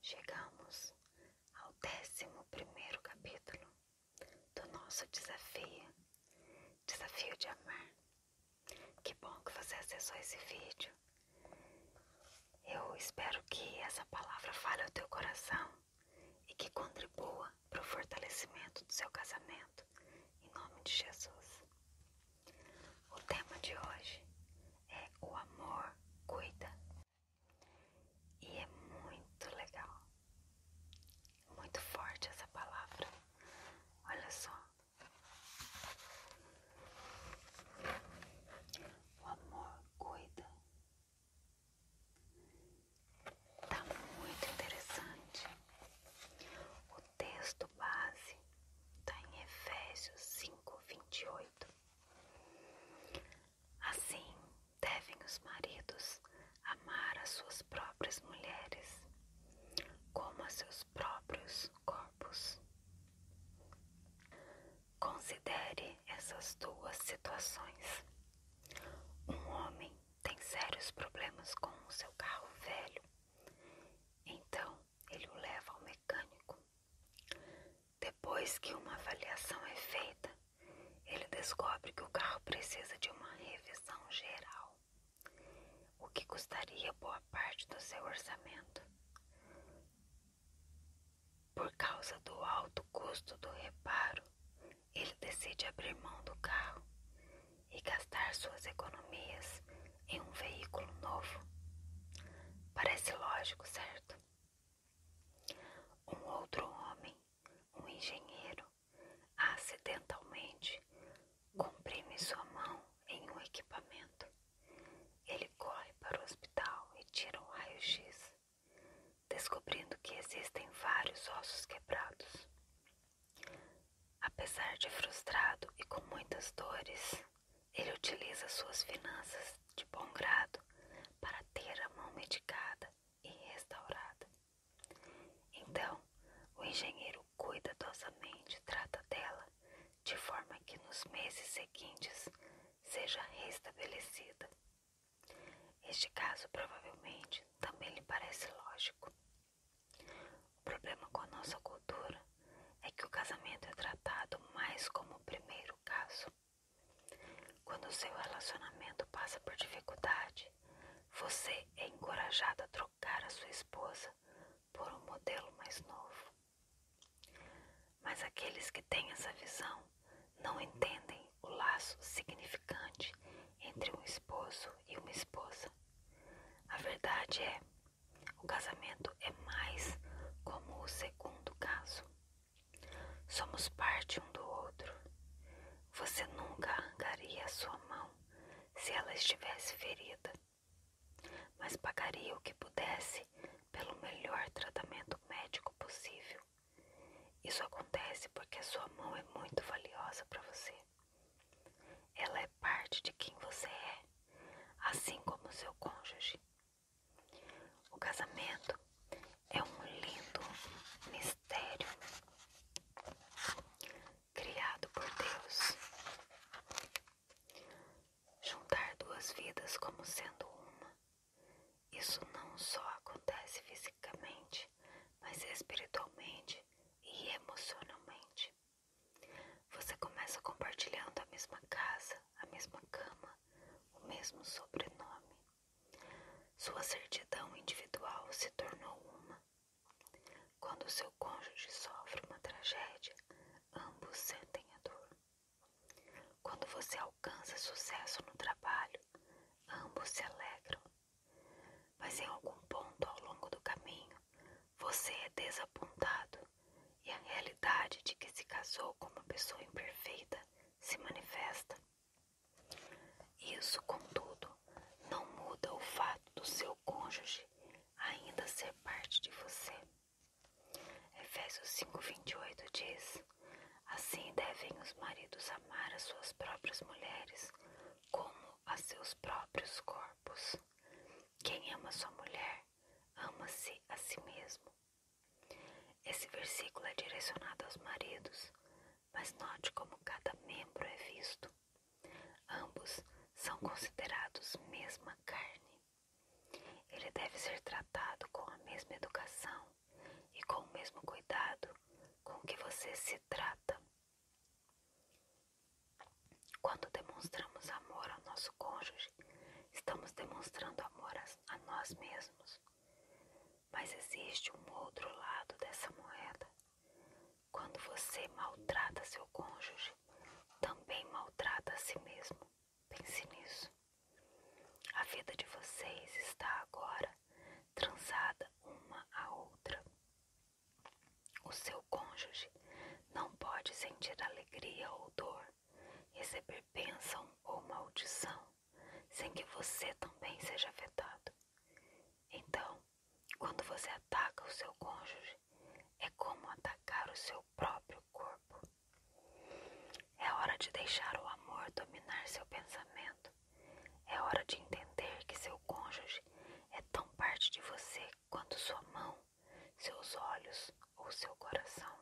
Chegamos ao décimo primeiro capítulo do nosso desafio, desafio de amar. Que bom que você acessou esse vídeo. Eu espero que essa palavra fale ao teu coração e que contribua para o fortalecimento do seu casamento, em nome de Jesus. O tema de hoje é o amor cuida. E é muito legal. Muito forte essa palavra. Olha só. O amor cuida. Tá muito interessante. O texto base está em Efésios 5, 28. Assim devem os maridos amar as suas próprias mulheres, como a seus próprios corpos. Considere essas duas situações. Um homem tem sérios problemas com o seu carro velho, então ele o leva ao mecânico depois que uma avaliação é feita, ele descobre que o carro precisa de uma revisão geral, o que custaria boa parte do seu orçamento. Por causa do alto custo do reparo, ele decide abrir mão do carro e gastar suas economias em um veículo novo. Parece lógico, certo? Um outro homem, um engenheiro, acidentalmente comprime sua mão em um equipamento. Ele corre para o hospital e tira um raio-x, descobrindo que existem vários ossos quebrados. Apesar de frustrado e com muitas dores, ele utiliza suas finanças de bom grado para ter a mão medicada e restaurada. Então, o engenheiro cuidadosamente trata dela de forma que nos meses seguintes seja restabelecida. Este caso provavelmente também lhe parece lógico. O problema com a nossa cultura é que o casamento é tratado mais como o primeiro caso. Quando o seu relacionamento passa por dificuldade, você é encorajado a trocar a sua esposa por um modelo mais novo. Mas aqueles que têm essa visão não entendem o laço significante entre um esposo e uma esposa. A verdade é, o casamento é mais como o segundo caso. Somos parte um do outro. Você nunca arrancaria sua mão se ela estivesse ferida, mas pagaria o que pudesse pelo melhor tratamento médico possível. Isso acontece porque a sua mão é muito valiosa para você. Ela é parte de quem você é, assim como seu cônjuge. O casamento é um lindo mistério criado por Deus. Juntar duas vidas como sendo uma, isso não só acontece fisicamente, mas espiritualmente e emocionalmente. Você começa compartilhando a mesma casa, a mesma cama, o mesmo sobrenome. Sua certidão individual se tornou uma. Quando seu cônjuge sofre uma tragédia, ambos sentem a dor. Quando você alcança sucesso no trabalho, ambos se alegram. Mas em algum ponto ao longo do caminho, você é desapontado e a realidade de que se casou com uma pessoa imperfeita se manifesta. Isso, contudo, não muda o fato do seu cônjuge ainda ser parte de você. Efésios 5:28 diz: Assim devem os maridos amar as suas próprias mulheres como a seus próprios corpos. Quem ama sua mulher, ama-se a si mesmo. Esse versículo é direcionado aos maridos, mas note como cada membro é visto. Ambos são considerados mesma carne. Ele deve ser tratado com a mesma educação e com o mesmo cuidado com que você se trata. Quando demonstramos amor ao nosso cônjuge, estamos demonstrando amor a, a nós mesmos. Mas existe um outro lado dessa moeda. Quando você maltrata seu cônjuge, também maltrata a si mesmo. Pense nisso. A vida de vocês está agora trançada uma à outra. O seu cônjuge não pode sentir alegria ou dor, receber bênção ou maldição, sem que você também seja afetado. Então, quando você ataca o seu cônjuge, é como atacar o seu próprio corpo. É hora de deixar o amor dominar seu pensamento é hora de entender que seu cônjuge é tão parte de você quanto sua mão, seus olhos ou seu coração.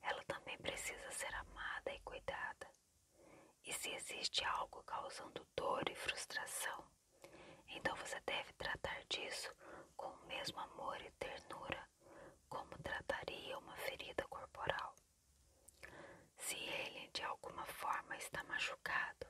Ela também precisa ser amada e cuidada. E se existe algo causando dor e frustração, então você deve tratar disso com o mesmo amor e ternura como trataria uma ferida corporal. Se ele de alguma forma está machucado,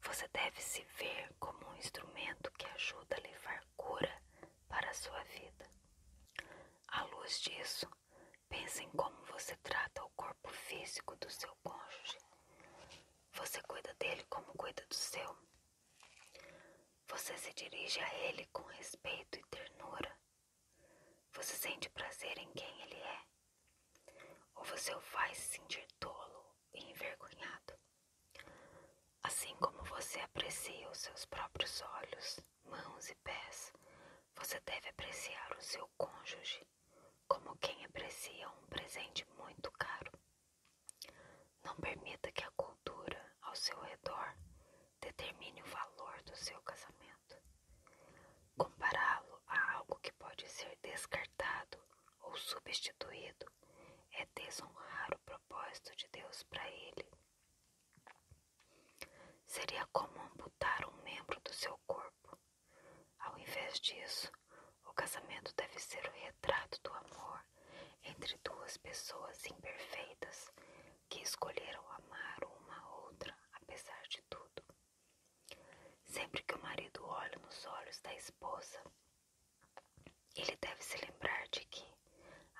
você deve se ver como um instrumento que ajuda a levar cura para a sua vida. À luz disso, pense em como você trata o corpo físico do seu cônjuge. Você cuida dele como cuida do seu. Você se dirige a ele com respeito e ternura você sente prazer em quem ele é? Ou você o faz se sentir tolo e envergonhado? Assim como você aprecia os seus próprios olhos, mãos e pés, você deve apreciar o seu cônjuge como quem aprecia um presente muito caro. Não permita que a cultura ao seu redor Determine o valor do seu casamento. Compará-lo a algo que pode ser descartado ou substituído é desonrar o propósito de Deus para ele. Seria como amputar um membro do seu corpo. Ao invés disso, o casamento deve ser o retrato do amor entre duas pessoas imperfeitas, que escolheram amar uma outra apesar de tudo. Sempre que o marido olha nos olhos da esposa, ele deve se lembrar de que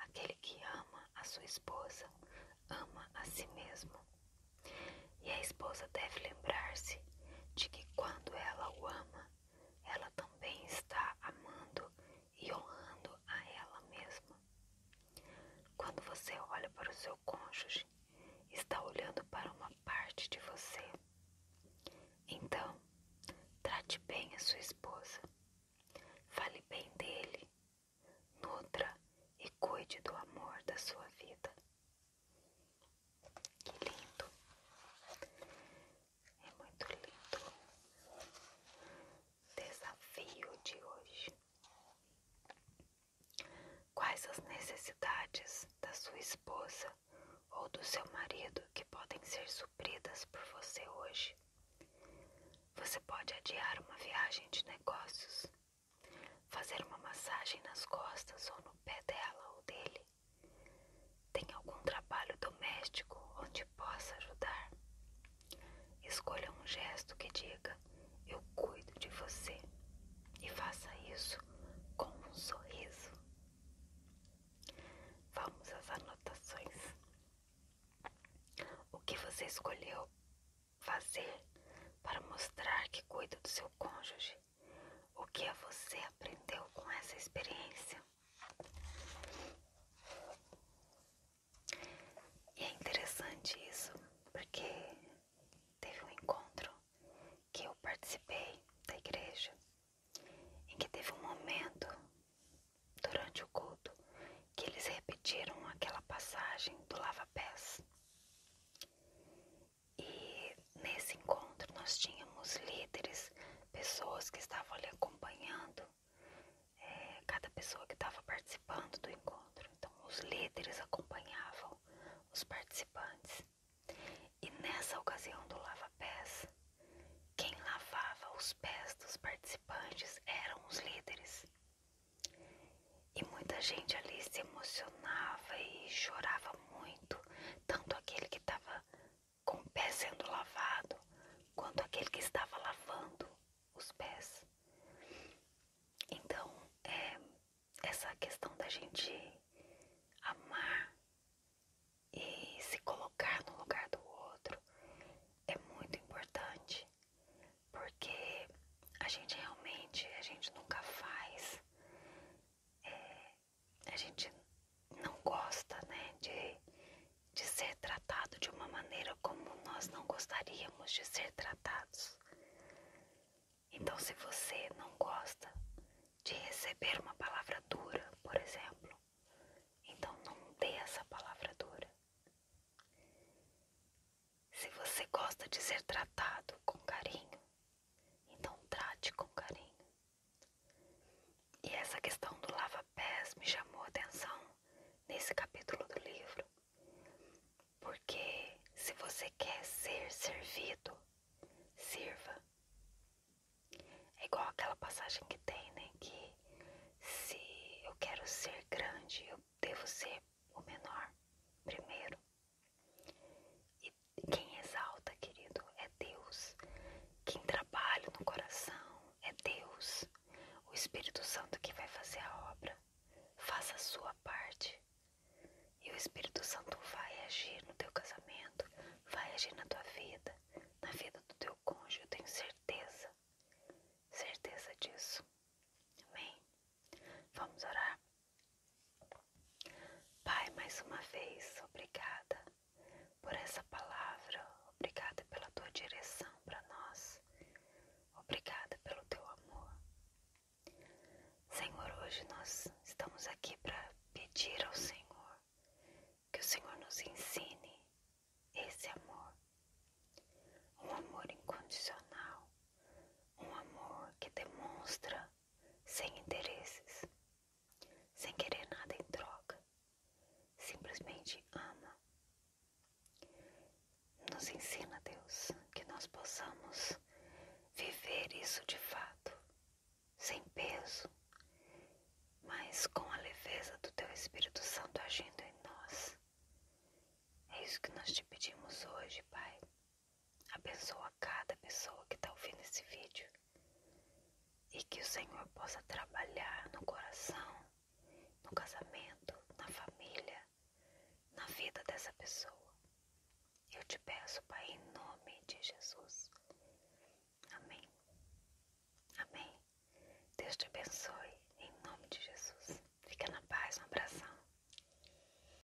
aquele que ama a sua esposa ama a si mesmo. E a esposa deve lembrar-se de que quando ela o ama, ela também está amando e honrando a ela mesma. Quando você olha para o seu cônjuge, está olhando para uma parte de você. Então, trate bem a sua esposa. Fale bem dele. Nutra e cuide do amor da sua vida. Que lindo! É muito lindo. Desafio de hoje. Quais as necessidades da sua esposa ou do seu marido que podem ser supridas por você hoje? Você pode adiar uma viagem de negócios, fazer uma massagem nas costas ou no pé dela ou dele. Tem algum trabalho doméstico onde te possa ajudar. Escolha um gesto que diga: Eu cuido de você. E faça isso com um sorriso. Vamos às anotações. O que você escolheu fazer para mostrar que cuida do seu cônjuge? O que você aprendeu com essa experiência? E é interessante isso, porque teve um encontro que eu participei da igreja, em que teve um momento durante o culto que eles repetiram aquela passagem do lava-pés. E nesse encontro nós tínhamos líderes pessoas que estavam ali acompanhando, é, cada pessoa que estava participando do encontro. Então, os líderes acompanhavam os participantes. E nessa ocasião do lava-pés, quem lavava os pés dos participantes eram os líderes. E muita gente ali se emocionava e chorava muito, tanto aquele que estava com o pé sendo lavado, quanto aquele que estava lavando os pés. Então, é, essa questão da gente amar e se colocar no lugar do outro é muito importante, porque a gente realmente, a gente nunca faz é, a gente não gosta, né, de, de ser tratado de uma maneira como nós não gostaríamos de ser tratados. Então, se você não gosta de receber uma palavra dura, por exemplo, então não dê essa palavra dura. Se você gosta de ser tratado com carinho, então trate com carinho. E essa questão do lava-pés me chamou a atenção nesse capítulo do livro, porque se você quer ser servido, sirva. É igual aquela passagem que tem, né? Que se eu quero ser grande, eu devo ser o menor primeiro quem exalta, querido, é Deus. Quem trabalha no coração é Deus. O Espírito Santo que vai fazer a obra. Faça a sua parte. E o Espírito Santo vai agir no teu casamento, vai agir na tua vida, na vida do teu cônjuge. Eu tenho certeza, certeza disso. Amém? Vamos orar? Pai, mais uma vez, obrigada por essa palavra, obrigada pela tua direção para nós, obrigada pelo teu amor. Senhor, hoje nós estamos aqui para pedir ao Senhor que o Senhor nos ensine esse amor, um amor incondicional, um amor que demonstra sem interesses, sem querer nada em troca. Simplesmente ama. Nos ensina, Deus, que nós possamos viver isso de fato, sem peso, mas com a leveza do Teu Espírito Santo agindo em nós. É isso que nós te pedimos hoje, Pai. Abençoa cada pessoa que está ouvindo esse vídeo e que o Senhor possa trabalhar no coração, no casamento, na família, na vida dessa pessoa. Eu te peço, Pai, em nome de Jesus. Amém. Amém. Deus te abençoe em nome de Jesus. Fica na paz, um abração.